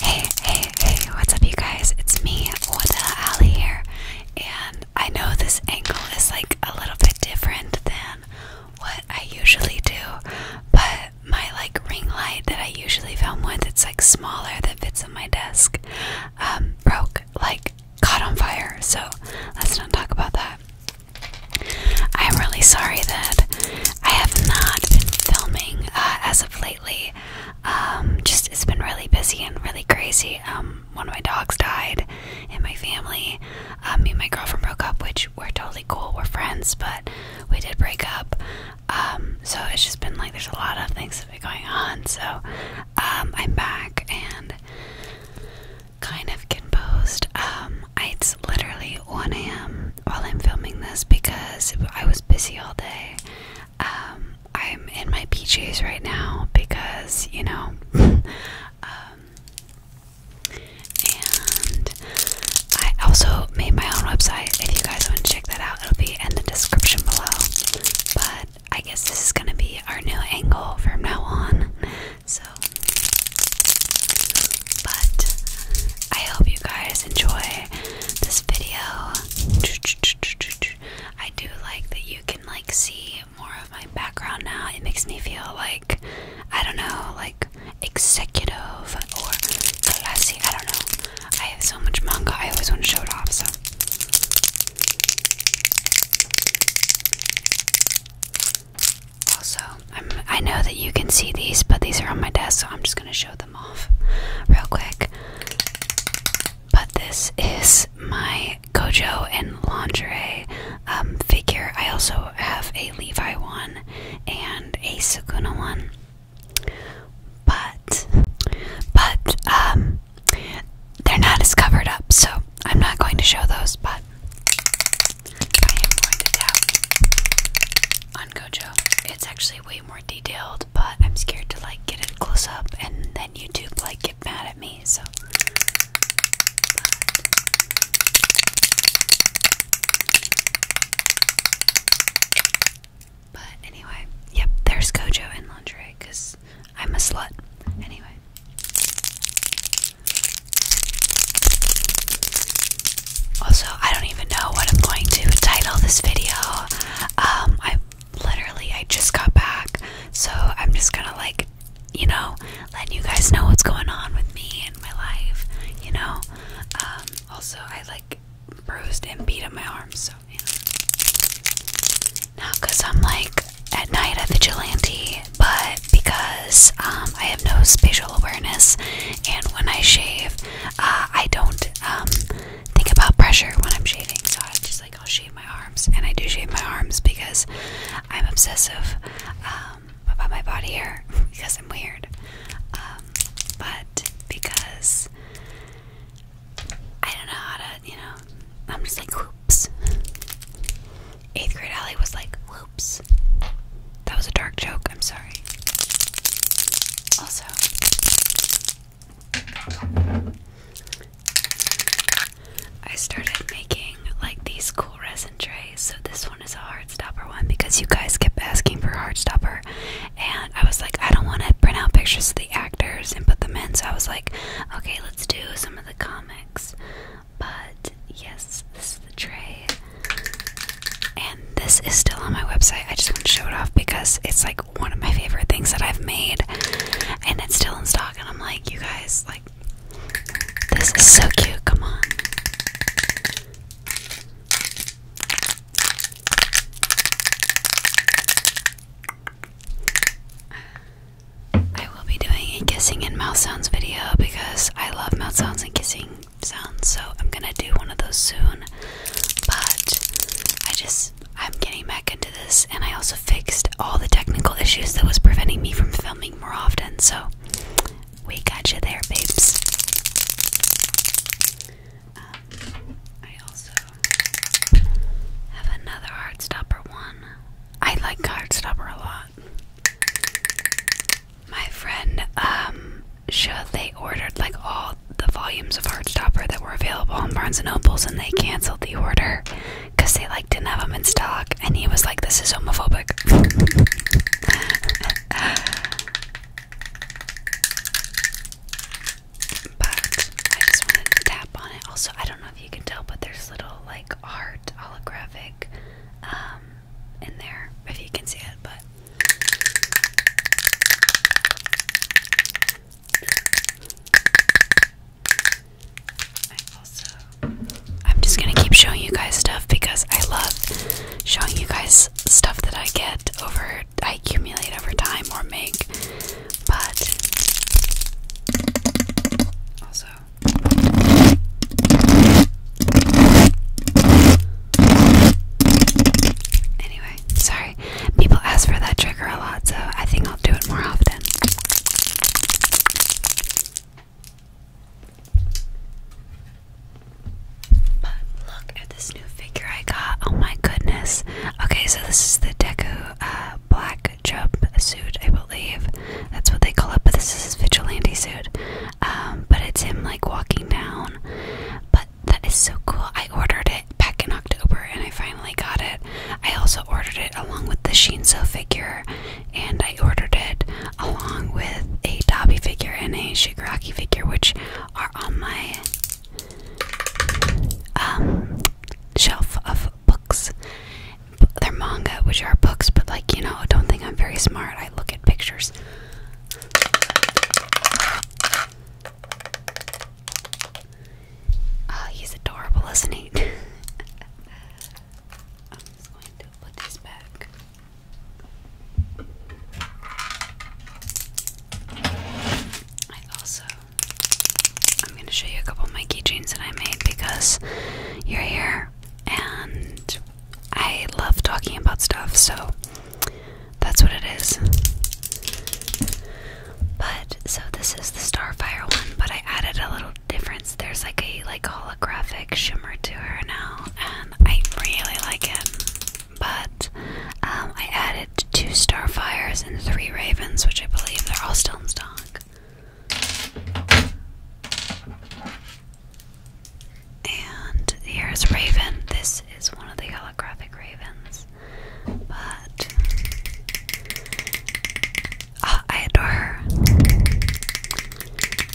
Hey, hey, hey, what's up, you guys? It's me, Wada Ali here, and I know this angle is like a little bit different than what I usually do, but my like ring light that I usually film with, it's like smaller that fits on my desk, um, broke, like caught on fire, so let's not talk about that. I'm really sorry that I have not been filming uh, as of late. Um, just it's been really busy and really crazy. Um, one of my dogs died and my family. Um, me and my girlfriend broke up, which we're totally cool. We're friends, but we did break up. so it's just been like there's a lot of things that have been going on. So I'm back and kind of composed. it's literally 1 a.m while I'm filming this because I was busy all day. Um, I'm in my PJs right now because, you know, um, and I also made my own website. If you guys want to check that out, it'll be in the description below. But I guess this is going to be our new angle from now on. So, but I hope you guys enjoy this video. I do like that you can like see more of my background now. It makes me feel like I don't know, like executive or classy. I don't know. I have so much manga. I always want to show it off. So. Also, i I know that you can see these, but these are on my desk, so I'm just going to show them real quick. But this is my Gojo and lingerie um, figure. I also have a Levi one and a Sukuna one. But, but, um, they're not as covered up, so I'm not going to show those, but on Gojo. It's actually way more detailed, but I'm scared to like get it close up and then YouTube like get mad at me, so but, anyway, yep, there's Gojo and lingerie because I'm a slut. Anyway. Also, I don't even know what I'm going to title this video. Um, I literally I just got back, so I'm just gonna like, you know, let you guys know what's going on with me and my life. You know. Um, also, I like bruised and beat up my arms, so you know. because I'm like at night a vigilante, but because um, I have no spatial awareness, and when I shave, uh, I don't um, think about pressure when I'm shaving, so I just like I'll shave my arms, and I do shave my arms because I'm obsessive um, about my body hair because I'm weird, um, but because I don't know how to, you know, I'm just like whoops. Eighth grade Allie was like whoops. That was a dark joke, I'm sorry. Also, I started making like these cool resin trays. So, this one is a hard stopper one because you guys kept asking for hard stopper. And I was like, I don't want to print out pictures of the actors and put them in. So, I was like, okay, let's do some of the comics. But yes, the tray. And this is still on my website. I just want to show it off because it's like one of my favorite things that I've made. And it's still in stock. And I'm like, you guys, like, this is so cute. Come on. I will be doing a kissing and mouth sounds video because I love mouth sounds and kissing sounds, so I'm gonna do one of those soon. But I just I'm getting back into this, and I also fixed all the technical issues that was preventing me from filming more often. So we got you there, babes. Um, I also have another hard stopper. one. I like hard stopper a lot. My friend, um, sure they ordered like all the volumes of Heartstopper that were available on Barnes and Nobles, and they canceled the order because they like didn't have them in stock. And he was like, "This is homophobic." but I just wanted to tap on it. Also, I don't know if you can tell, but there's little like art holographic. Um, in there if you can see it, but I am just gonna keep showing you guys stuff because I love showing you guys stuff that I get over I accumulate over time or make but also Anyway, sorry. People ask for that trigger a lot, so I think I'll do it more often. But look at this new figure I got. Oh my goodness. Okay, so this is the deco uh, black jump suit, I believe. That's what they call it, but this is vigilante suit um, but it's him like walking down. But that is so cool. I ordered it back in October and I finally got it. I also ordered it along with the Shinzo figure, and I ordered it along with a Dobby figure and a Shigaraki figure, which are on my um, shelf of books. They're manga, which are books, but like you know, don't think I'm very smart. I look at pictures. Oh, he's adorable, isn't he? I'm just going to put this back. I also, I'm going to show you a couple of my keychains that I made because you're here and I love talking about stuff, so that's what it is. But so this is the Starfire one, but I added a little difference. There's like a like holographic shimmer to her now, and I really like it. But um, I added two Starfires and three Ravens, which I believe they're all still in stock. And here's Raven. This is one of the holographic ravens. But ah, I adore her.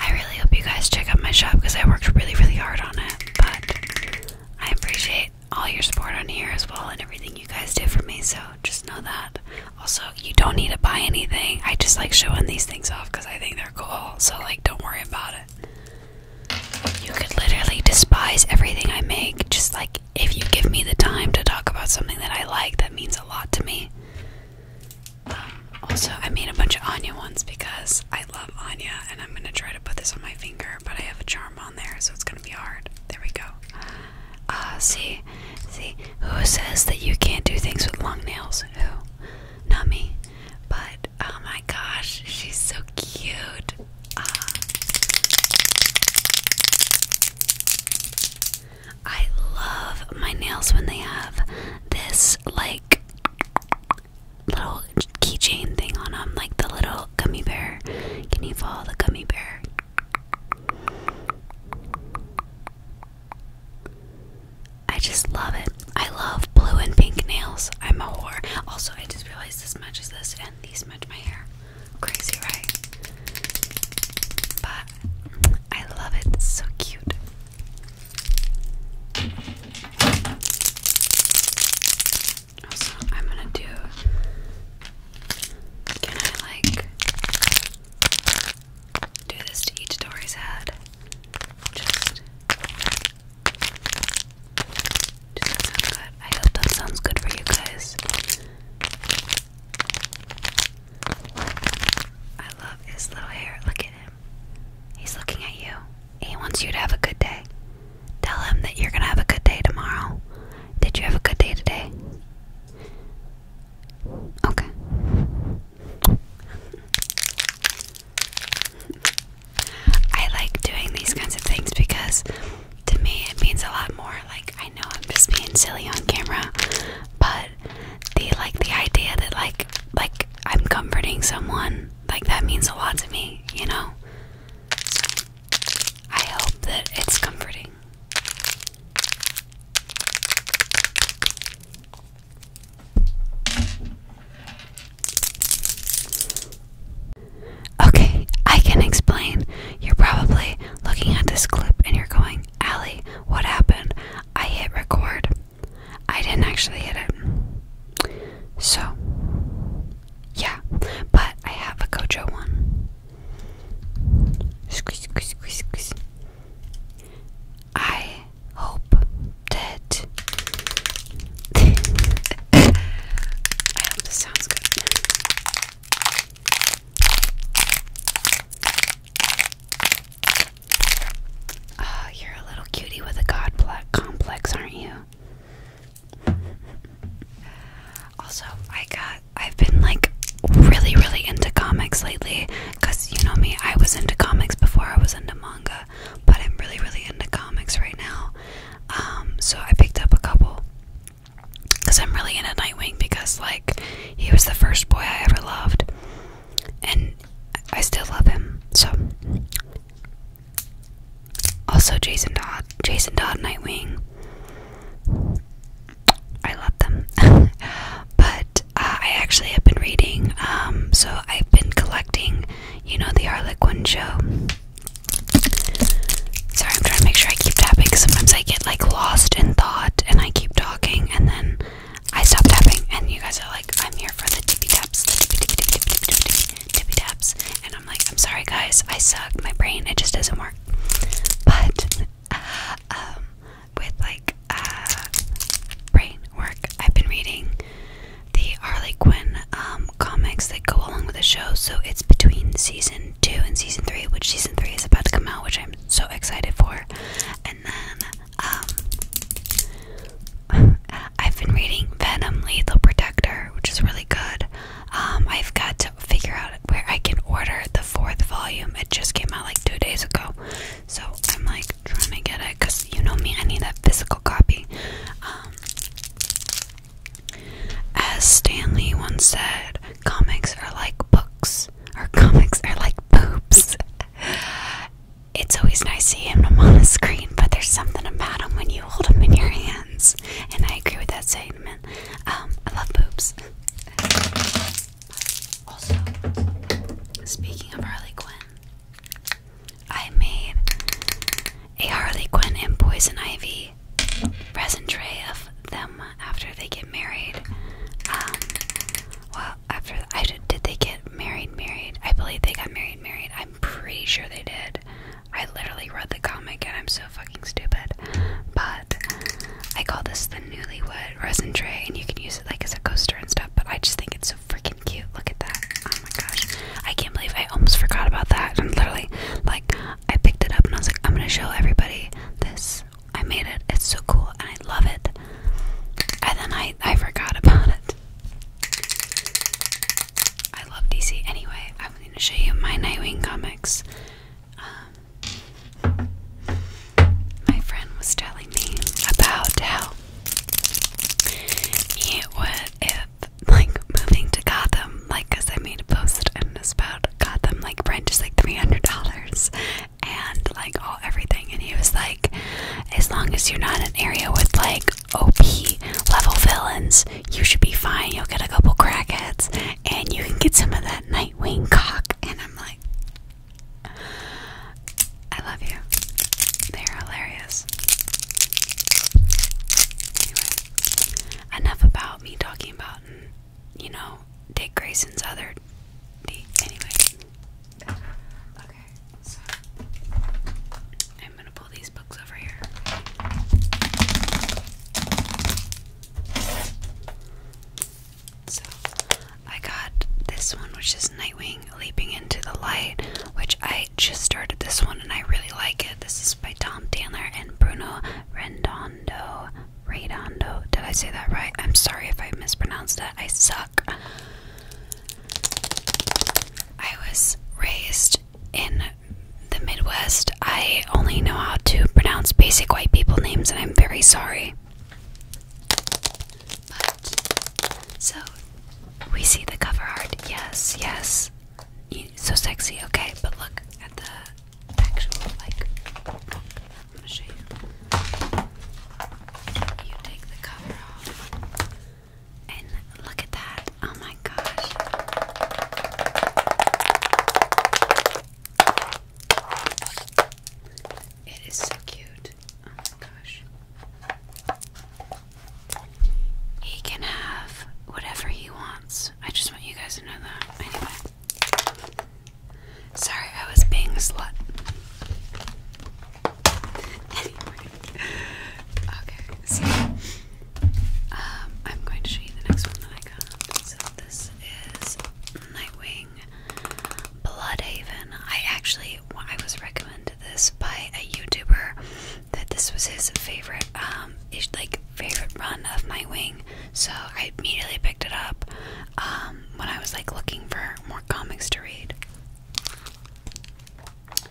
I really hope you guys check out my shop because I worked really, really hard on it. But I appreciate all your support on here as well and everything you guys did for me. So just know that. Also, you don't need to buy anything. I just like showing these things off because I think they're so like don't worry about it. You could literally despise everything I make, just like if you give me the time to talk about something that I like, that means a lot to me. Um, also, I made a bunch of Anya ones because I love Anya, and I'm gonna try to put this on my finger, but I have a charm on there, so it's gonna be hard. There we go. Ah, see, see, who says that you can't do things with long nails? Who? Not me. But oh my gosh, she's so cute. Ah. I love my nails when they have this like little keychain thing on them, like the little gummy bear. Can you follow the gummy bear? I just love it. I love blue and pink nails. I'm a whore. Also, I just realized this matches this and these match my hair. Crazy, right? But I love it. so cute. Also, I'm gonna do. Can I like do this to each Dory's head. Just, that sounds good. I hope that sounds good for you guys. I love his little hair. Look at him. He's looking at you. He wants you to have a good day. Tell him that you're gonna have a good day tomorrow. Did you have a good day today? Okay. I like doing these kinds of things because to me it means a lot more. Like I know I'm just being silly on camera, but the like the idea that like like I'm comforting someone, like that means a lot to me, you know? So I hope that it's comforting. Okay, I can explain. You're probably looking at this clip and you're going, Allie, what happened? I hit record. I didn't actually hit it. So, yeah, but I have a Gojo one. Squeeze, squeeze, squeeze, squeeze. I hope that sounds good. Oh, you're a little cutie with a god complex, aren't you? also, I got I've been like really really into comics lately. Because you know me, I was into comics before I was into manga, but I'm really, really into comics right now. Um, so I picked up a couple. Because I'm really into Nightwing, because, like, he was the first boy I ever loved. And I still love him, so. Also, Jason Todd, Jason Dodd, Nightwing. I love them, but uh, I actually have been reading, um, so I've been collecting, you know, the Harlequin show. Sorry, I'm trying to make sure I keep tapping. Sometimes I get like lost in thought and I keep talking and then I stop tapping, and you guys are like, I'm here for the tippy taps, tippy taps. And I'm like, I'm sorry, guys, I suck. My brain, it just doesn't work. But, um, with like uh, brain work. I've been reading the Harley Quinn um, comics that go along with the show, so it's between season two and season three, which season three is about to come out, which I'm so excited for. And then um, I've been reading Venom Lethal Protector, which is really good. Um, I've got to figure out where I can order the fourth volume. It just came out like two days ago, so I'm like trying to get it because you know me, I need a physical copy. Um, as Stanley once said, comics are like books, or comics are like boobs. it's always nice seeing them on the screen, but there's something about them when you hold them in your hands. And I agree with that statement. Um, I love boobs. Also, speaking of Harley Quinn, I made a Harley Quinn and Poison Ivy present tray of them after they get married. Um, well, after I did, they get married? Married? I believe they got married. Married? I'm pretty sure they did. I literally read the comic and I'm so fucking stupid. But I call this the Newlywed resin tray and you can use it like as a coaster and stuff. But I just think it's so freaking cute. Look at that. Oh my gosh. I can't believe I almost forgot about that. And literally, like, I picked it up and I was like, I'm gonna show everybody this. I made it. It's so cool and I love it. And then I, I forgot about it. I love DC. Anyway, I'm going to show you my Nightwing comics. Um, my friend was telling me about how it would, if like moving to Gotham, like, because I made a post and it's about Gotham, like, rent is like $300 and like all everything. And he was like, as long as you're not in an area with like OP level villains, you should be fine. You'll get a couple crackheads and you can get some of that Nightwing cock. And I'm like, I love you. They are hilarious. Anyway, enough about me talking about, you know, Dick Grayson's other. anyway. Okay, so I'm gonna pull these books over here. So I got this one, which is Nightwing Leaping into the Light, which I just started this one and I really like it. This is by Tom Taylor and Bruno Rendondo. Redondo. Did I say that right? I'm sorry if I mispronounced that. I suck. I was raised in the Midwest. I only know how to pronounce basic white people names, and I'm very sorry so we see the cover art. Yes, yes. so sexy. Okay, but look at the actual like. Look, I'm gonna show you. You take the cover off, and look at that. Oh my gosh it is so cute. Oh my gosh. He can have whatever he wants. I just want you guys to know that. Anyway. Sorry, I was being a slut. anyway. Okay, um, I'm going to show you the next one that I got. So this is Nightwing, Bloodhaven. I actually, I was recommended this by a YouTuber that this was his favorite, um, like favorite run of Nightwing. So I immediately picked it up um, when I was like looking for more comics to read. But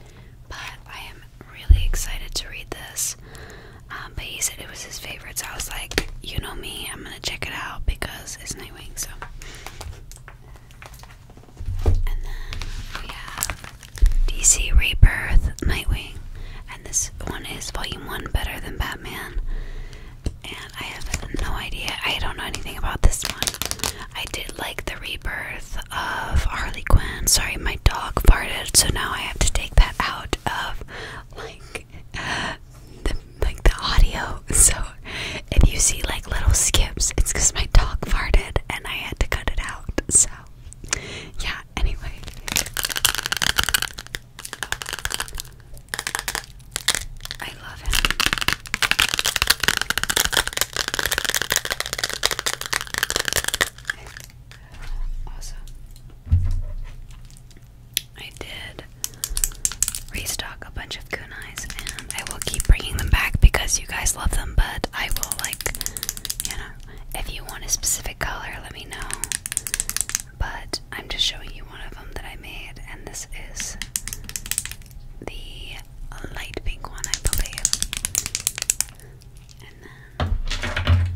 I am really excited to read this. Um, but he said it was his favorite, so I was like, you know me, I'm gonna check it out because does is Nightwing, so. And then we have DC Rebirth Nightwing, and this one is Volume 1 Better Than Batman. And I have no idea, I don't know anything about this one. I did like the rebirth of Harley Quinn. Sorry, my dog farted, so now I have to take that out of like the, like the audio. So if you see like little skips, it's because my dog farted and I had to cut it out. So yeah. Anyway. I love him. Awesome. I did restock a bunch of kunais, and I will keep bringing them back because you guys love them. But I will like, you know, if you want a specific color, let me know. But I'm just showing you one of them that I made, and this is the light pink one, I believe. And then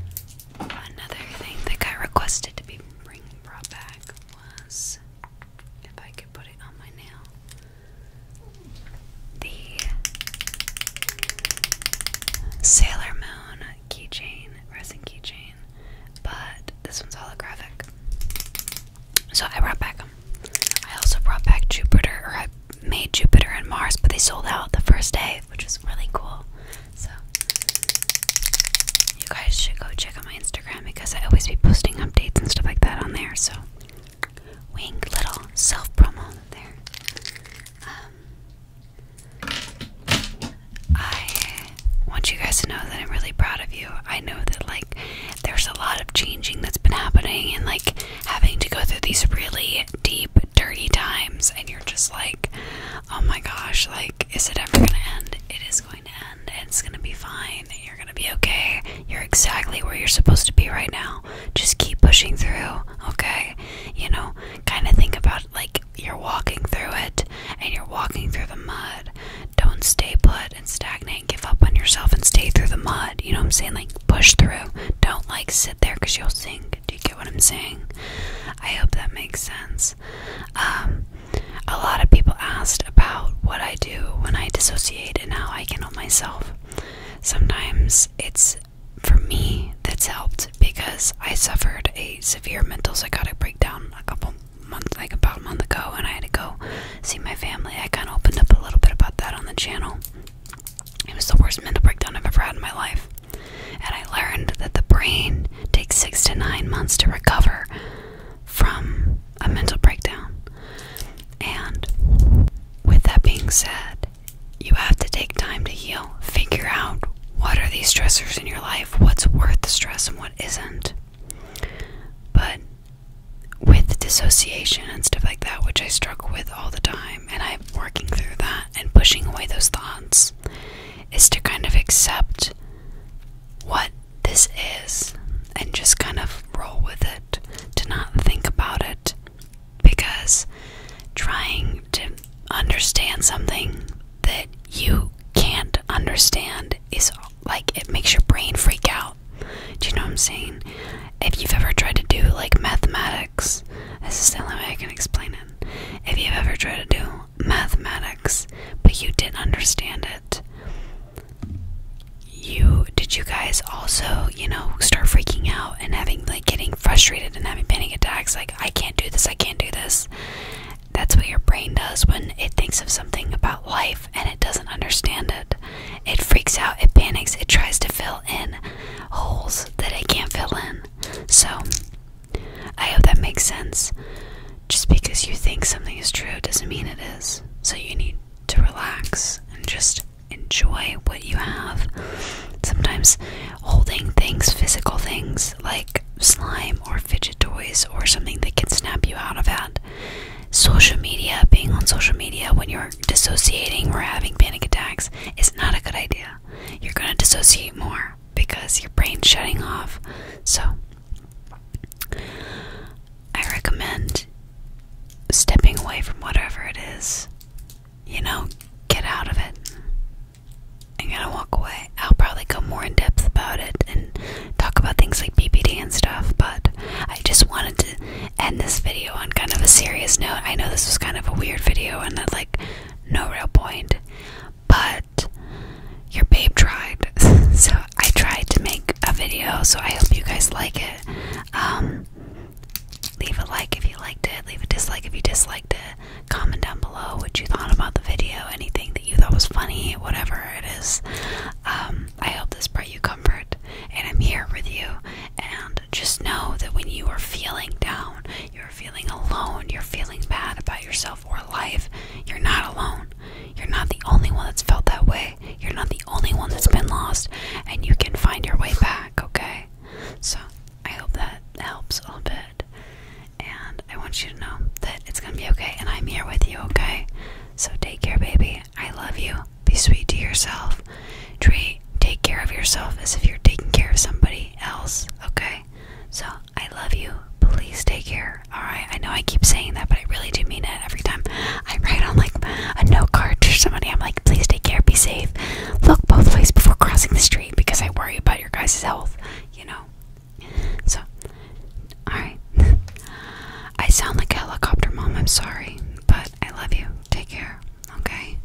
another thing that got requested to be brought back was, if I could put it on my nail, the Sailor Moon keychain, resin keychain, but this one's holographic. So I brought back them. I also brought back Jupiter, or I made Jupiter and Mars, but they sold out the first day, which was really cool. So you guys should go check out my Instagram because I always be posting updates and stuff like that on there. So wink little self promo there. Um, I want you guys to know that I'm really proud of you. I know that like there's a lot of changing that's been happening and like having to go through these really deep, dirty times, and you're just like, oh my gosh, like, is it ever gonna end? It is is going to end. It's going to be fine. You're going to be okay. You're exactly where you're supposed to be right now. Just keep pushing through, okay? You know, kind of think about like you're walking through it and you're walking through the mud. Don't stay put and stagnate. Give up on yourself and stay through the mud. You know what I'm saying? Like push through. Don't like sit there because you'll sink. Do you get what I'm saying? I hope that makes sense. Um, a lot of people asked about what I do when I dissociate and how I can help myself. Sometimes it's for me that's helped because I suffered a severe mental psychotic breakdown a couple months, like about a month ago, and I had to go see my family. I kind of opened up a little bit about that on the channel. It was the worst mental breakdown I've ever had in my life and I learned that the brain takes six to nine months to recover from a mental breakdown. And with that being said, you have to take time to heal. Figure out what are these stressors in your life, what's worth the stress and what isn't. But with dissociation and stuff like that, which I struggle with all the time, and I'm working through that and pushing away those thoughts is to kind of accept what this is and just kind of roll with it, to not think about it. Because trying to understand something that you can't understand is like it makes your brain freak out. Do you know what I'm saying? If you've ever tried to do like mathematics, this is the only way I can explain it. If you've ever tried to do mathematics, but you didn't understand it. You did you guys also, you know, start freaking out and having like getting frustrated and having panic attacks like I can't do this, I can't do this. That's what your brain does when it thinks of something about life and it doesn't understand it. It freaks out, it panics, it tries to fill in holes that it can't fill in. So I hope that makes sense. Just because you think something is true doesn't mean it is. So you need to relax and just enjoy what you have. Sometimes holding things, physical things like slime or fidget toys or something that can snap you out of that. Social media, being on social media when you're dissociating or having panic attacks is not a good idea. You're going to dissociate more because your brain's shutting off. So, I recommend stepping away from whatever it is. You know, get out of it. I'm gonna walk away. I'll probably go more in depth about it and talk about things like BPD and stuff, but I just wanted to end this video on kind of a serious note. I know this was kind of a weird video and that, uh, like, no real point, but your babe tried. so I tried to make a video, so I hope you guys like it. Um, leave a like if you liked it, leave a dislike if you disliked it, comment down below what you thought about the video, anything that you thought was funny, whatever it is. Um, I hope this brought you comfort, and I'm here with you. And just know that when you are feeling down, you're feeling alone, you're feeling bad about yourself or life, you're not alone. You're not the only one that's felt that way. You're not the only one that's been lost, and you can find your way back, okay? So, I hope that helps a little bit. And I want you to know that it's gonna be okay, and I'm here with you, okay? So, take care, baby. I love you. Be sweet to yourself. Treat, take care of yourself as if you're taking care of somebody else, okay? So I love you. Please take care. Alright, I know I keep saying that, but I really do mean it every time I write on like a note card to somebody. I'm like, please take care, be safe. Look both ways before crossing the street because I worry about your guys' health, you know. So alright. I sound like a helicopter mom, I'm sorry, but I love you. Take care. Okay.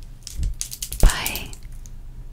Bye.